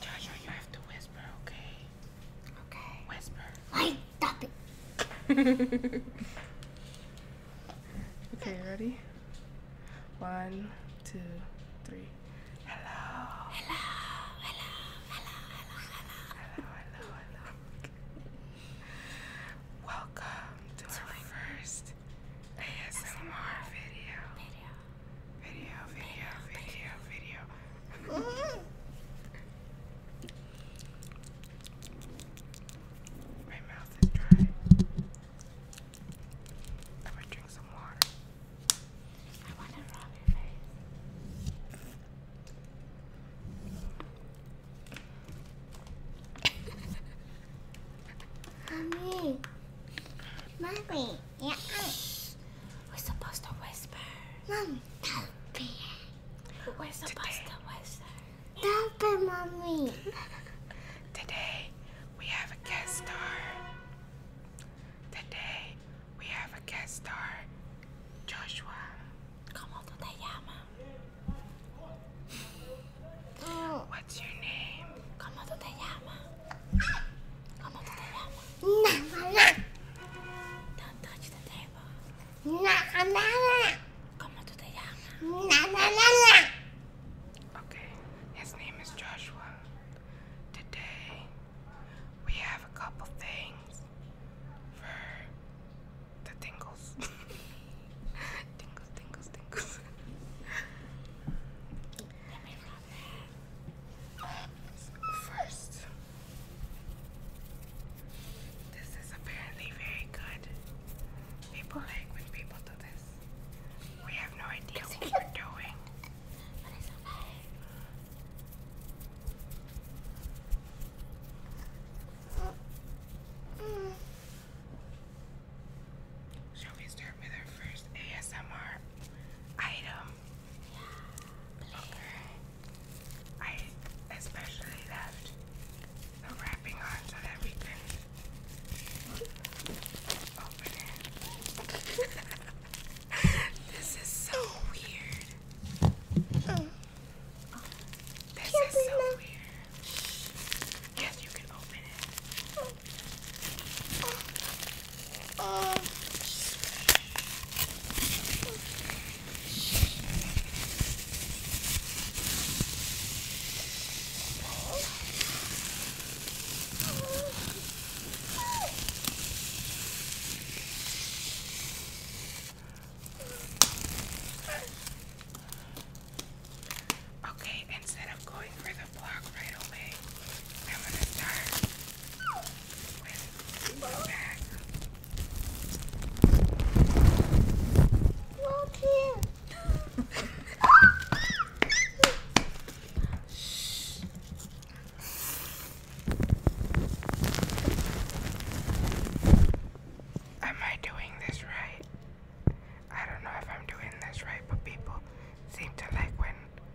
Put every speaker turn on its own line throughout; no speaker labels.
Jojo, you have to whisper, okay? Okay. Whisper. Wait, stop it. okay, ready? One, two, three. Hello. Hello. Hello. Hello. Hello. Hello. Hello. Hello. Welcome to, to our first ASMR, ASMR video. video. Video, video, video, video. My mouth is dry. I'm drink some water. I wanna rub your face. Mommy. Mommy. Yeah. We're supposed to whisper. Mom, don't be. We're supposed Today. to whisper. Don't be, mommy. Today, we have a guest star. Today, we have a guest star, Joshua. Come Como tú te llamas? What's your name? Come on, tú the llamas? Come on to the llama. No, no. Don't touch the table. No, no, no. Come on to the llama. No, no, no, no. Okay, his name is Joshua. Today, we have a couple things for the tingles. tingles, tingles, tingles. Let me First, this is apparently very good. People like when people do this. We have no idea what you are doing. But it's okay. Shall we start with our first ASMR item? I especially left the wrapping on so that we can open it. this is so weird. Oh. Oh, this is so weird. Yes, you can open it. Okay, instead of going for the the block i Am I doing this right? I don't know if I'm doing this right, but people seem to like when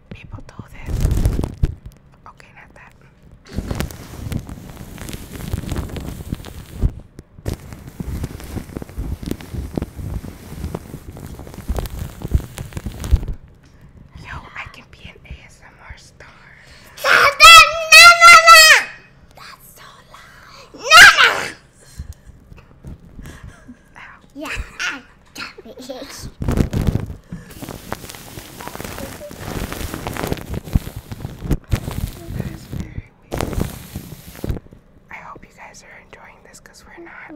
people do this. Okay, not that. Yo, I can be an ASMR star. That's so loud. Yeah, I got it. I hope you guys are enjoying this because we're not.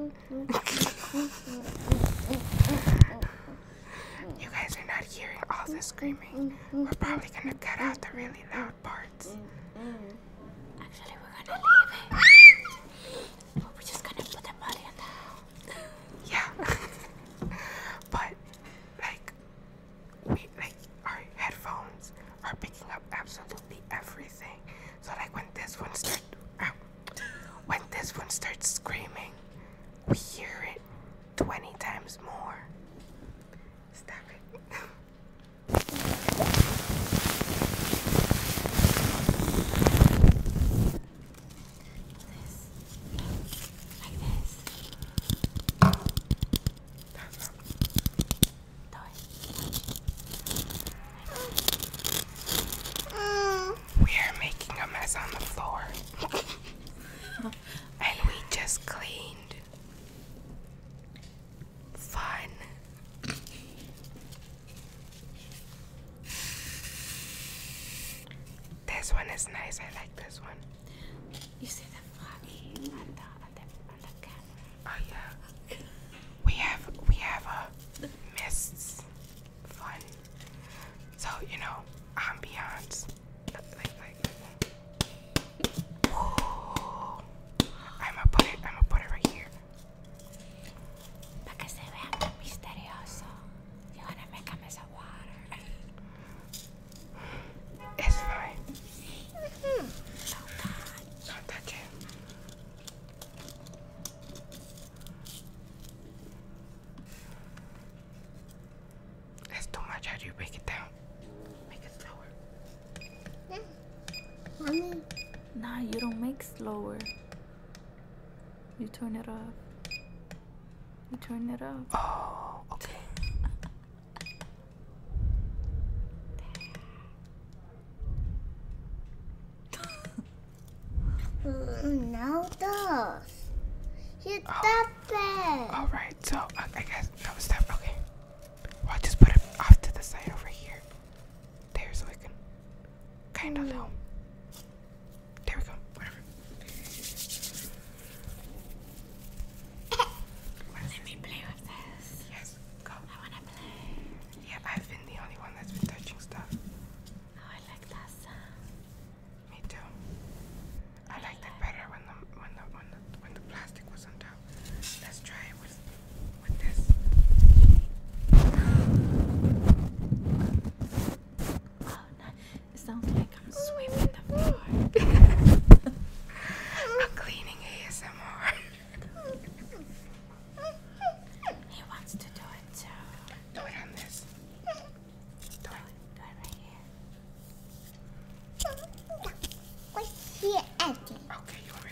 you guys are not hearing all the screaming. We're probably going to cut out the really loud parts. Actually, we're going to leave it. We're just gonna put the money on now. yeah. but like our headphones are picking up absolutely everything. So like when this one starts when this one starts screaming, we hear it twenty times more. Stop it. We are making a mess on the floor, and we just cleaned. Fun. This one is nice. I like this one. You see the fucking on the, on the, Oh yeah. we have we have a uh, mists fun. So you know ambiance. like. like. Ooh. I'm gonna put it. I'm gonna put it right here. Para que se vea tan misterioso. you want to make a mess of water. It's fine. mm Don't touch it. That's too much. How do you break it down? Make it slower. Mm. you don't make slower. You turn it off. You turn it off. Oh, okay. Mm, now does. You stop oh. it. All right, so uh, I guess no stop. Okay, well I'll just put it off to the side over here there's a like kind of little. There we go. Whatever. Let me play with this. Yes, go. I wanna play. Yeah, I've been the only one that's been touching stuff. Oh, I like that Me too. I, like it better when the when the when the, when the plastic was on top. Let's try it with with Oh, no. sounds like I'm sweeping the floor. I'm cleaning ASMR. he wants to do it too. Do it on this. Do it. Do it right here. What's here, Okay, you want me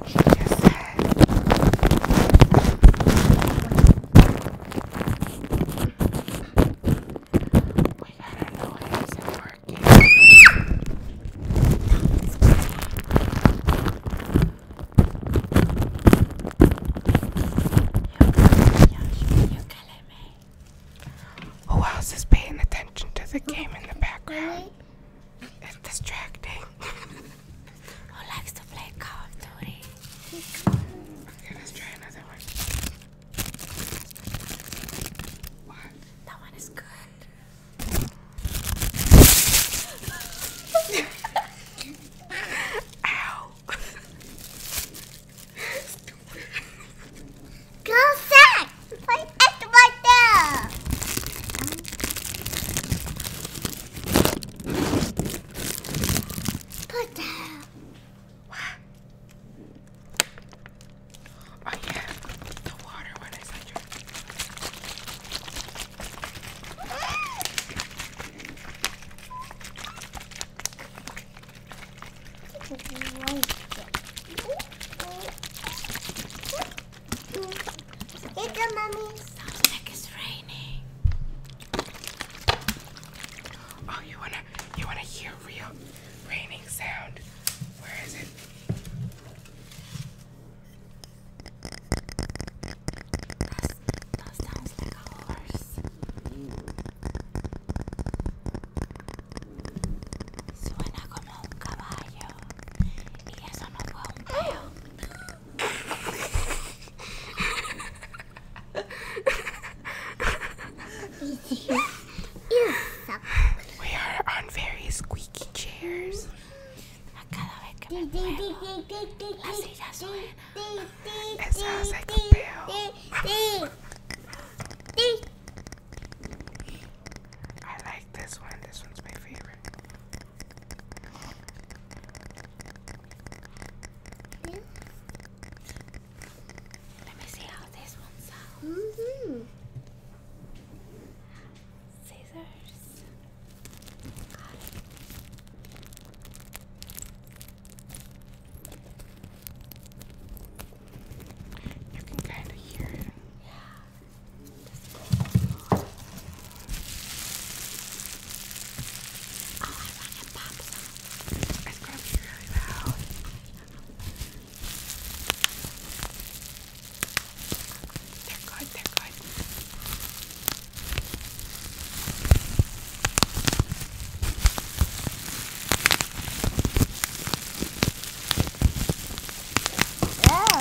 Yes, We got our noise and working. Who else is paying attention to the game in the background? It's distracting. Who likes to play Call of Duty? What? That one is good. Ow. Go sack! Play extra right there! Put down. What? Oh yeah, the water one I here you go, it's raining. Oh, you wanna you wanna hear real raining sound? Where is it? That's, sounds like a horse. Suena como un caballo. Y eso no fue un peo. we are on very squeaky chairs. I like this one. This one's my favorite. Yeah. Let me see how this one sounds. Mm-hmm. Scissors. You can kind of hear it. Yeah. Oh, it's gonna be really loud. They're good, they're good. Yeah.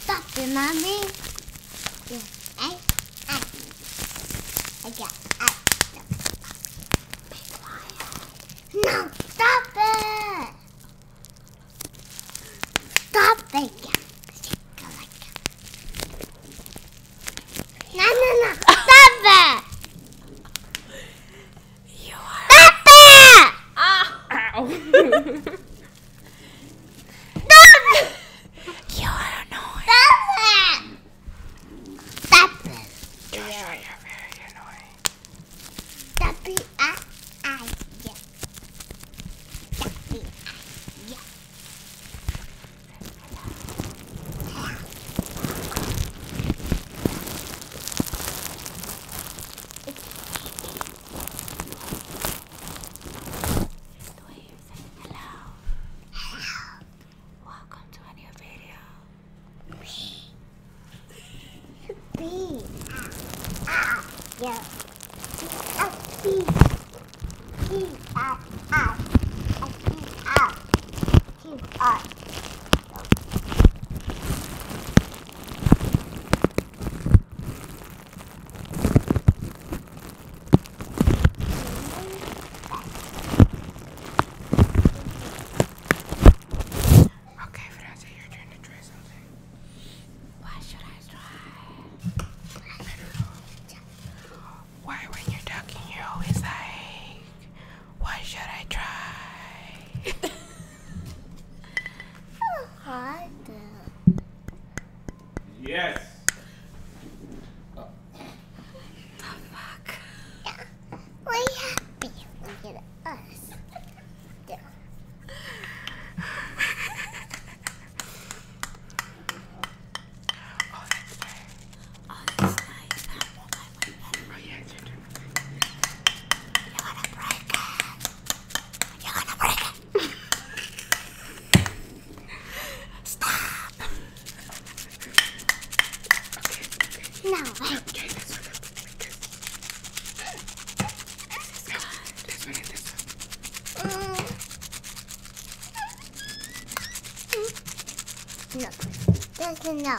Stop it, mommy. Yeah, I, I, I got, I. Be quiet. No, stop it. Stop it. No, no, no. Stop it. You are. Papa! Ah! Ow. you are annoying. Papa! Papa! Joshua, you're very annoying. Papa, I, I, yeah. Papa, I, yeah. Hello. Hello. Welcome to a new video. Me. Bee. Ah. Yeah. Ah. Bee. Bee. Ah. Ah. Ah. Ah. Ah. Okay, Francia, you're trying to try something. What should I try? I don't know. Why, when you're talking, you're always like, why should I try? hard. Yes. Oh. fuck. Yeah. we happy. Look at us. Yeah on this night. Oh yeah, it's your You're gonna break it. You're gonna break it. Stop. Okay. No. Okay, this one. This no, this one this one. No, this is no.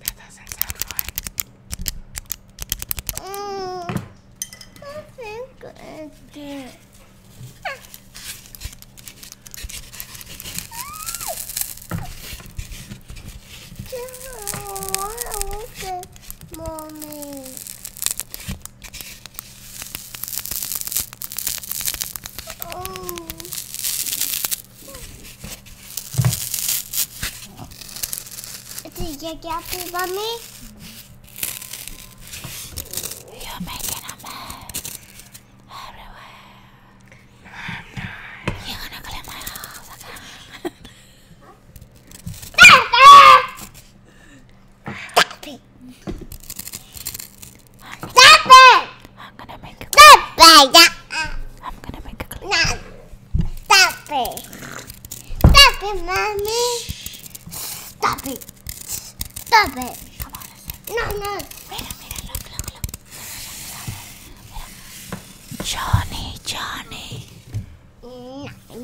That doesn't sound fun. Mm. I think I did. Mommy. Oh. Did you get mommy? You're making a mess. Everywhere. I'm You're gonna clean my house again. Stop it! Stop it! I'm gonna make a Stop it! I'm gonna make a clean. No. Stop it! Stop it, mommy! Stop it! Stop it! Come on, no, no. Mira, mira, look, look, look. Johnny, Johnny.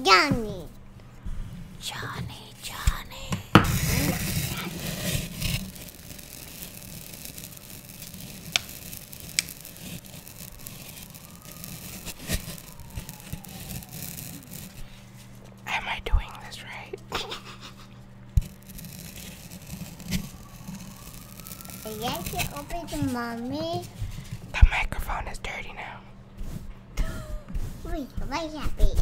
Johnny. Johnny, Johnny. Am I doing this right? Yes, it open to mommy. The microphone is dirty now. Wait, why is that big?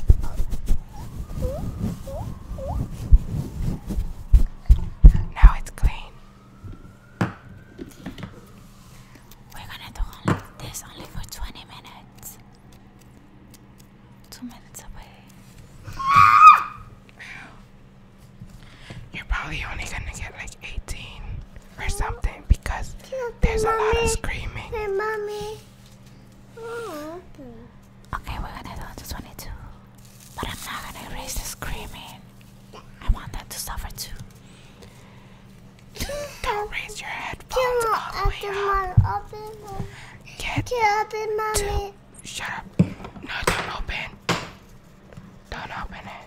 Now it's clean. We're gonna do only this only for 20 minutes. Two minutes away you're probably only gonna get like 18 or something because there's a lot of screaming. Oh, okay. we're gonna do this 22. But I'm not gonna erase the screaming. I want them to suffer too. Don't raise your headphones all the way up. Get Shut up. No, don't open. Don't open it.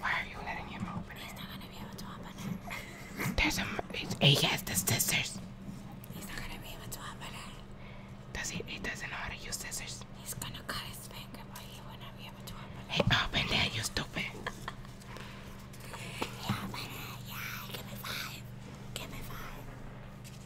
Why are you letting him open it? He's not gonna be able to open it. There's a. He has the scissors. He's not gonna be able to open it. Does he? He doesn't know how to use scissors. He's gonna cut his finger, but he will not be able to open it. Hey, open that, you stupid. Wait.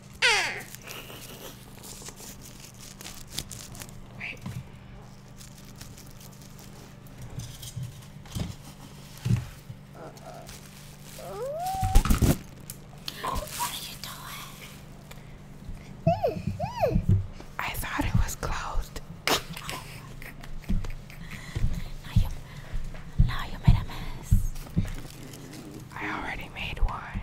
What are you doing? I thought it was closed. Oh. you, now you made a mess. I already made one.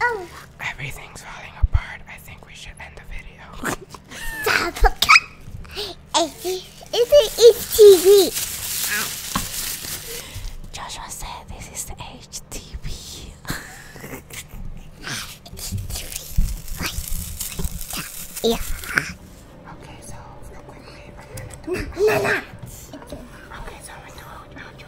Oh. Everything's falling apart. I think we should end the video. Stop. It's TV. Joshua said this is the HTV. yeah. Okay, so real quickly, I'm gonna do. okay, so I'm going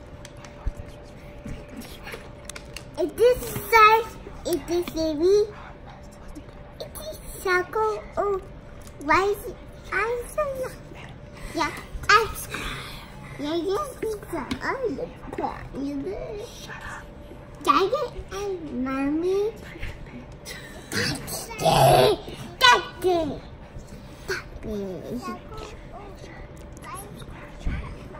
It is this size? It is this heavy? It is this circle? Oh, why is it? I'm so Yeah, I. Yeah, yeah, pizza. I'm the popular. Daddy and mommy. Daddy, daddy, daddy.